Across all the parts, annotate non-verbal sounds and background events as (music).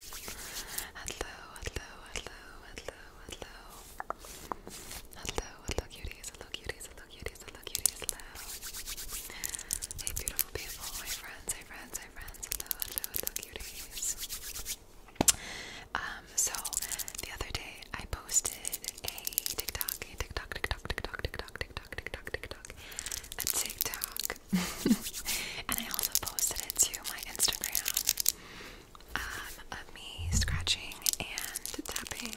Hello, hello, hello, hello, hello. Hello, hello cuties, hello cuties, hello cuties, hello cuties, hello. Hey beautiful people, my friends, hey friends, hey friends, hello, hello, hello cuties. Um, so the other day I posted a TikTok, a TikTok, TikTok, TikTok, TikTok, TikTok, TikTok, TikTok, a TikTok (laughs) and I also posted it to my Instagram um, of me scratching and tapping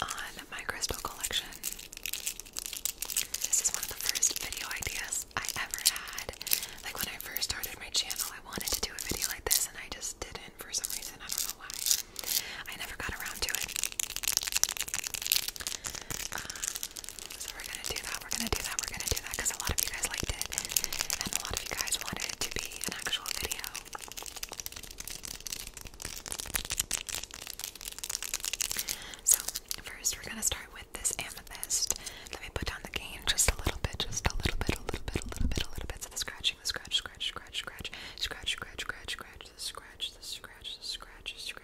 on my crystal collection. This is one of the first video ideas I ever had. Like when I first started my channel, I wanted to do a video like this and I just didn't for some reason. I don't know why. I never got around to it. Um, so we're gonna do that, we're gonna do that, we're gonna do that because a lot of you guys liked it and a lot of you guys wanted it to be an actual video. So, first we're gonna start with this amethyst. Let me put down the gain just a little bit, just a little bit, a little bit, a little bit, a little bit. So the scratching, the scratch, scratch, scratch, scratch, scratch, scratch, scratch, scratch, the scratch, the scratch, the scratch, scratch,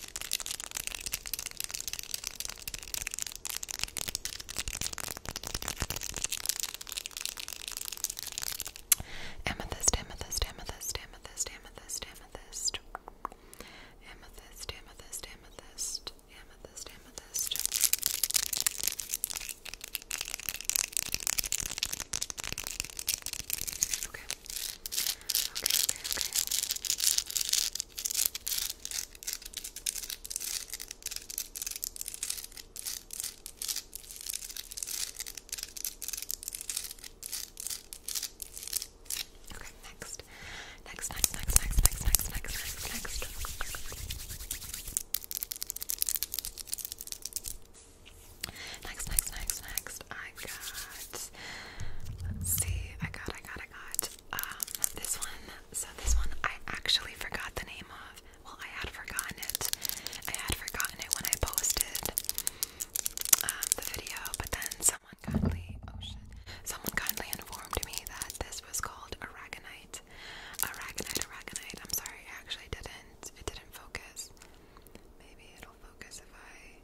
Amethyst, amethyst, amethyst, amethyst, amethyst, amethyst. Amethyst, amethyst, amethyst, amethyst, amethyst. Okay. Okay, okay, okay. Okay, next. Next, next, next, next, next, next, next, next, next. Next, next, next, next, I got. Let's see. I got, I got, I got. Um, this one. So this one, I actually forgot the name of. Well, I had forgotten it. I had forgotten it when I posted um, the video, but then someone kindly, oh shit, someone kindly informed me that this was called Aragonite. Aragonite, Aragonite. I'm sorry, I actually didn't. It didn't focus. Maybe it'll focus if I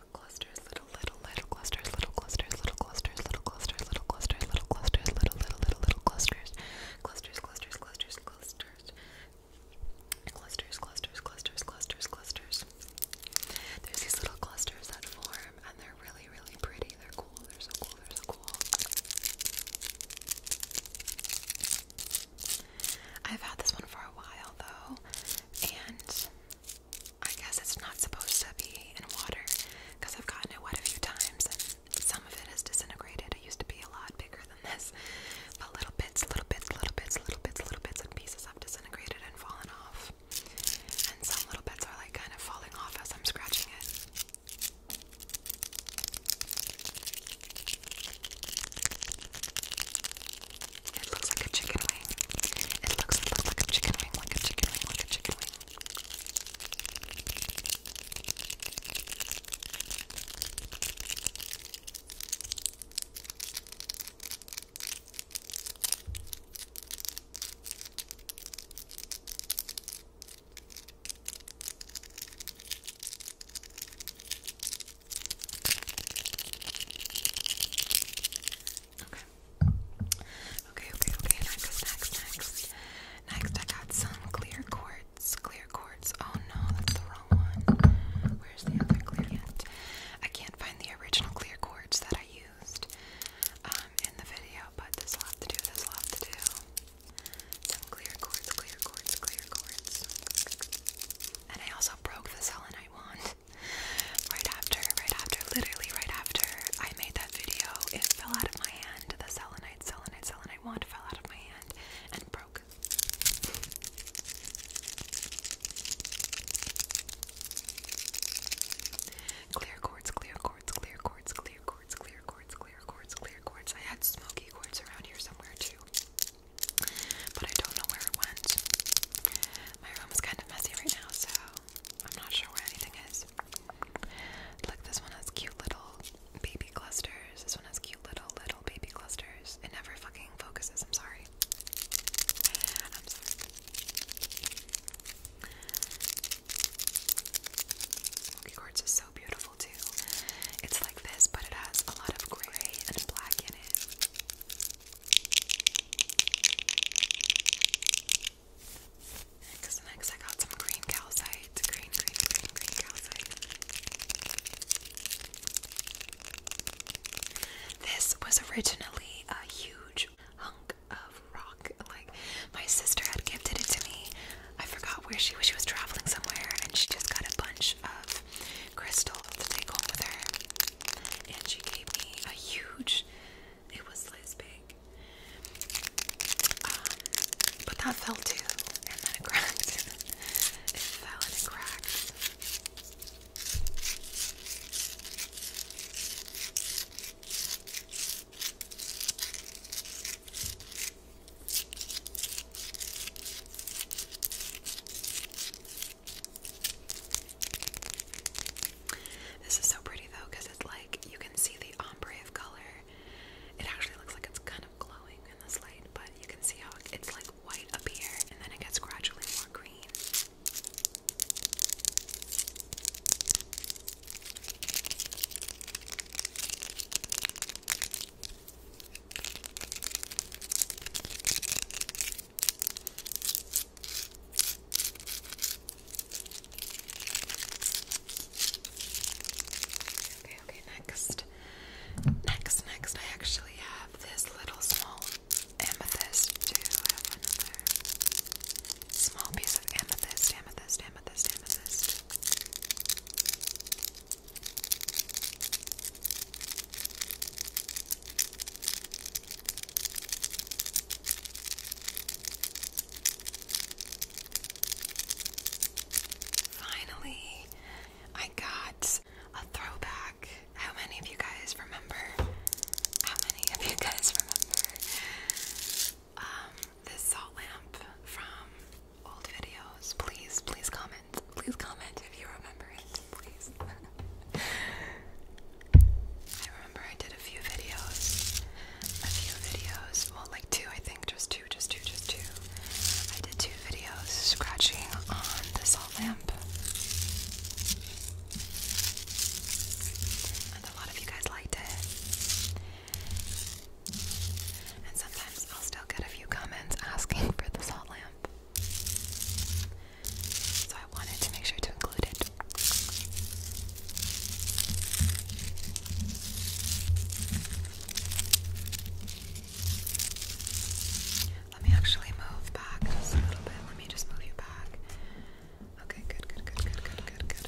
little clusters, little, little, little clusters, little clusters, little clusters, little clusters, little clusters, little clusters, little, little, little, little clusters, clusters, clusters, clusters, clusters, clusters, clusters, clusters, clusters, clusters. There's these little clusters that form, and they're really, really pretty. They're cool. They're so cool. They're so cool. I've had this one for a while though, and I guess it's not supposed to be in water because I've gotten it wet a few times and some of it has disintegrated. It used to be a lot bigger than this, but little bits, little bits, little bits, little bits, little bits and pieces have disintegrated and fallen off. And some little bits are like kind of falling off as I'm scratching it. It looks like a chicken wing. It looks, it looks like a chicken wing, like a chicken wing, like a chicken wing. Okay. Okay, okay, okay. Next, next, next. Next, I got some clear quartz. Clear quartz. Oh no, that's the wrong one. Where's the other clear I can't find the original clear quartz that I used um, in the video, but this will have to do. This will have to do. Some clear quartz, clear quartz, clear quartz. And I also broke the selenite wand right after, right after, literally right after I made that video. It fell out of my hand. The selenite, selenite, selenite wand fell out of my hand and broke. Clear quartz, clear quartz, clear quartz, clear quartz, clear quartz, clear quartz, clear quartz. I had smoky quartz around here somewhere too but I don't know where it went. My room is kind of messy right now, so I'm not sure where anything is. Look, this one has cute little baby clusters. This one has cute little, little baby clusters. It never fucking focuses. I'm sorry. Smoky quartz is so beautiful, too. It's like this, but it has a lot of gray and black because next I got some green calcite. Green, green, green, green calcite. This was originally a huge hunk of rock. Like, my sister had gifted it to me. I forgot where she was. She was traveling somewhere and she just got a bunch of Crystal to take home with her. And she gave me a huge, it was this big. Um, but that fell too, and then it cracked. (laughs) it fell and it cracked. This is so pretty though because it's like you can see the ombre of color. It actually looks like it's kind of glowing in this light, but you can see how it's like white up here and then it gets gradually more green. Okay, okay, next. Next, next, I actually have this little small amethyst too. I have another small piece of amethyst, amethyst, amethyst, amethyst. Finally, I got a throwback. How many of you guys remember? How many of you guys remember um, this salt lamp from old videos, please, please comment. Please comment if you remember it, please. (laughs) I remember I did a few videos. A few videos. Well, like two, I think. Just two, just two, just two. I did two videos scratching on the salt lamp. And a lot of you guys liked it. And sometimes I'll still get a few comments asking for the salt lamp. So I wanted to make sure to include it. Let me actually move back just a little bit. Let me just move you back. Okay, good, good, good, good, good, good, good,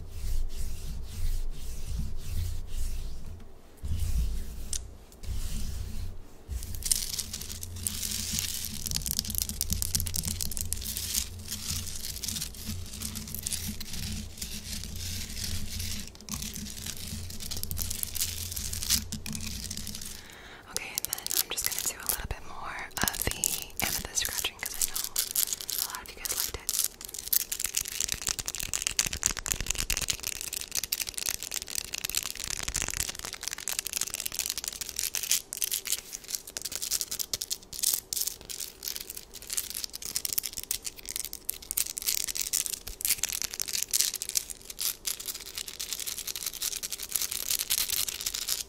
Okay, and then I'm just going to do a little bit more uh, of the amethyst scratching because I know a lot of you guys liked it.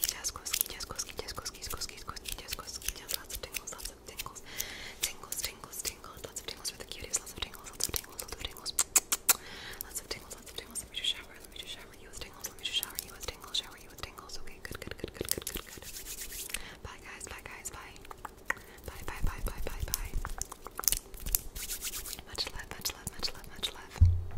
just Koski, just Koski, just Koski, Koski, Koski, just Koski, just lots of tingles, lots of tingles, tingles, tingles, tingles, lots of tingles for the cuties, lots of tingles, lots of tingles, lots of tingles, lots of tingles, lots of tingles. Let me just shower, let me just shower you with tingles, let me just shower you with tingles, shower you with tingles. Okay, good, good, good, good, good, good, good. Bye guys, bye guys, bye, bye, bye, bye, bye, bye, bye. Much love, much love, much love, much love.